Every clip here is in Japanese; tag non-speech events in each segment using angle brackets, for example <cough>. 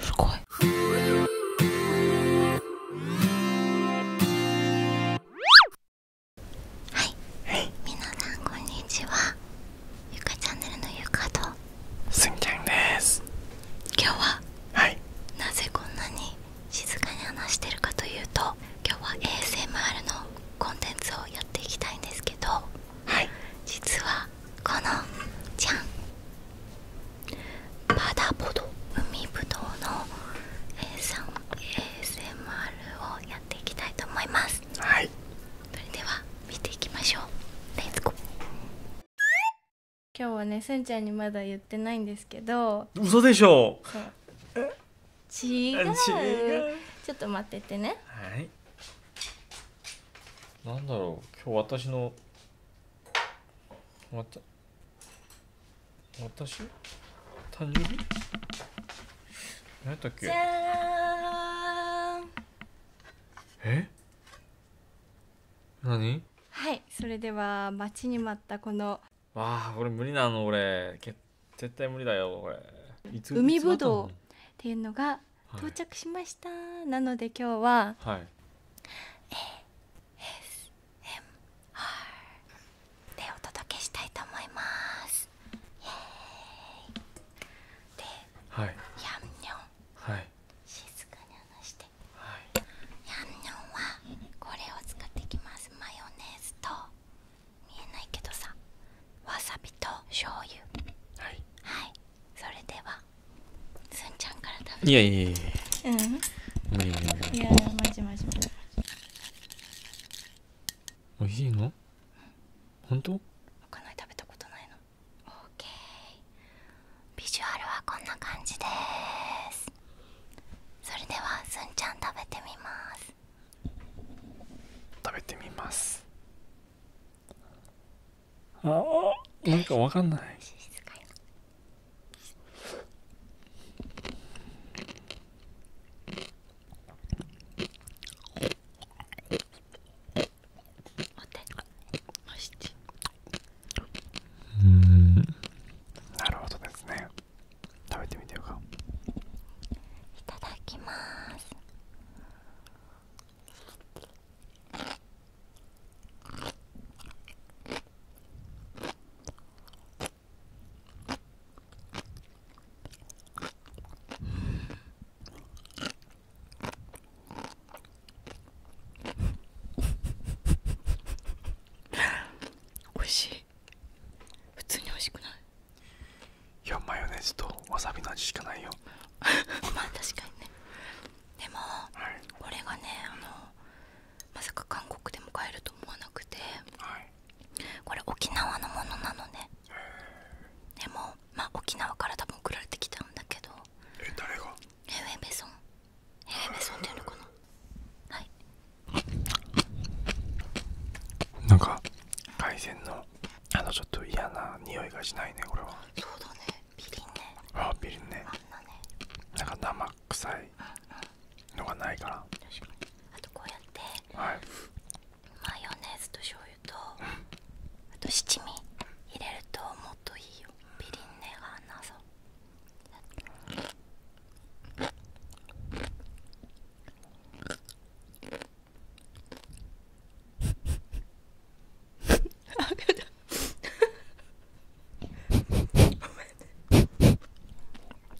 すごいはい皆さんこんにちはゆかチャンネルのゆかとすんちんで今日は、なぜこんなに静かに話してるかというと今日は ASMR のコンテンツをやっていきたいんですけどはい、実はこのじゃんパダポド海ぶどうの A3ASMR をやっていきたいと思いますはいそれでは見ていきましょうレッツゴー今日はねすんちゃんにまだ言ってないんですけど嘘でしょ違うちょっと待っててねなんだろう今日私のわた私誕えはいそれでは待ちに待ったこのわあこれ無理なの俺け絶対無理だよこれ海ぶどうっていうのが到着しました、なので今日は、はい、ASMR でお届けしたいと思いますで、はい、やんにょん、はい、静かに話して、はい、やんにょんはこれを使ってきますマヨネーズと見えないけどさわさびと醤油はいはいそれではすんちゃんからいやいやいやうん無理無理無いやマジおいしい食べたことないのオーケービジュアルはこんな感じですそれではすんちゃん食べてみます食べてみますああなんかわかんない静かにお手まなるほどですね食べてみてよかいただきます美味しい普通に美味しくないいやマヨネーズとわさびの味しかないよ <laughs> まあ確かにねでも、これがねあのまさか韓国でも買えると思わなくて、これ沖縄のものなのねでもまあ沖縄から多分送られてきたんだけどえ誰がヘウェベソンヘウェベソンっていうのかなはいなんか海鮮のあのちょっと嫌な匂いがしないねこれはそうだねビリンねあビリンねあんなねなんか生臭いのがないから確かにあとこうやって、はい、マヨネーズと醤油と、うんあと七味入れるともっといいよビリンネがなぞあっ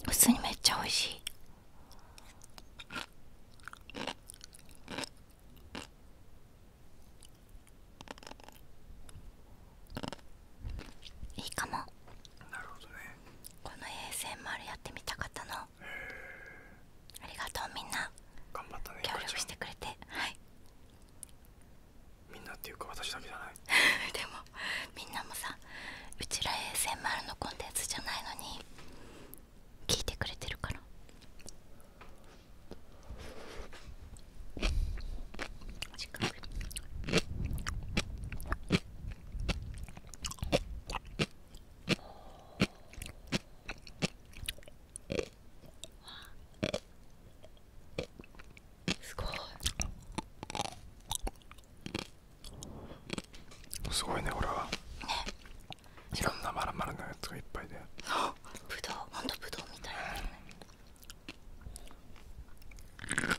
普通にめっちゃおいしいいいかもなるほどねこの ASMR やってみたかったのありがとうみんな頑張ったね協力してくれてはいみんなっていうか私だけじゃない <laughs> でもみんなもさうちら ASMR のコンテンツじゃないのに聞いてくれてるから時間すごいすごいねこれは、ね、いろんなまるまるのやつがいっぱいでぶどうほんとぶどうみたいな、うん。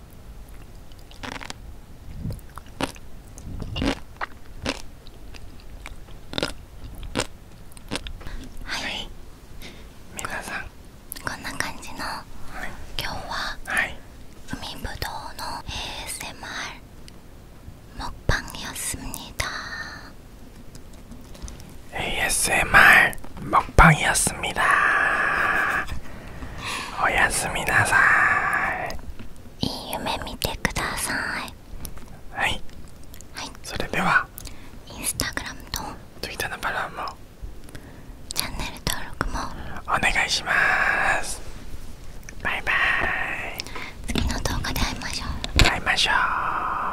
はい皆さんこんな感じの今日は海ぶどうの ASMR 먹방이었습니다 ASMR 먹방이었습니다おやすみなさいいい夢見てくださいはい、それではインスタグラムと Twitter のフォローもチャンネル登録もお願いしますバイバイ次の動画で会いましょう会いましょう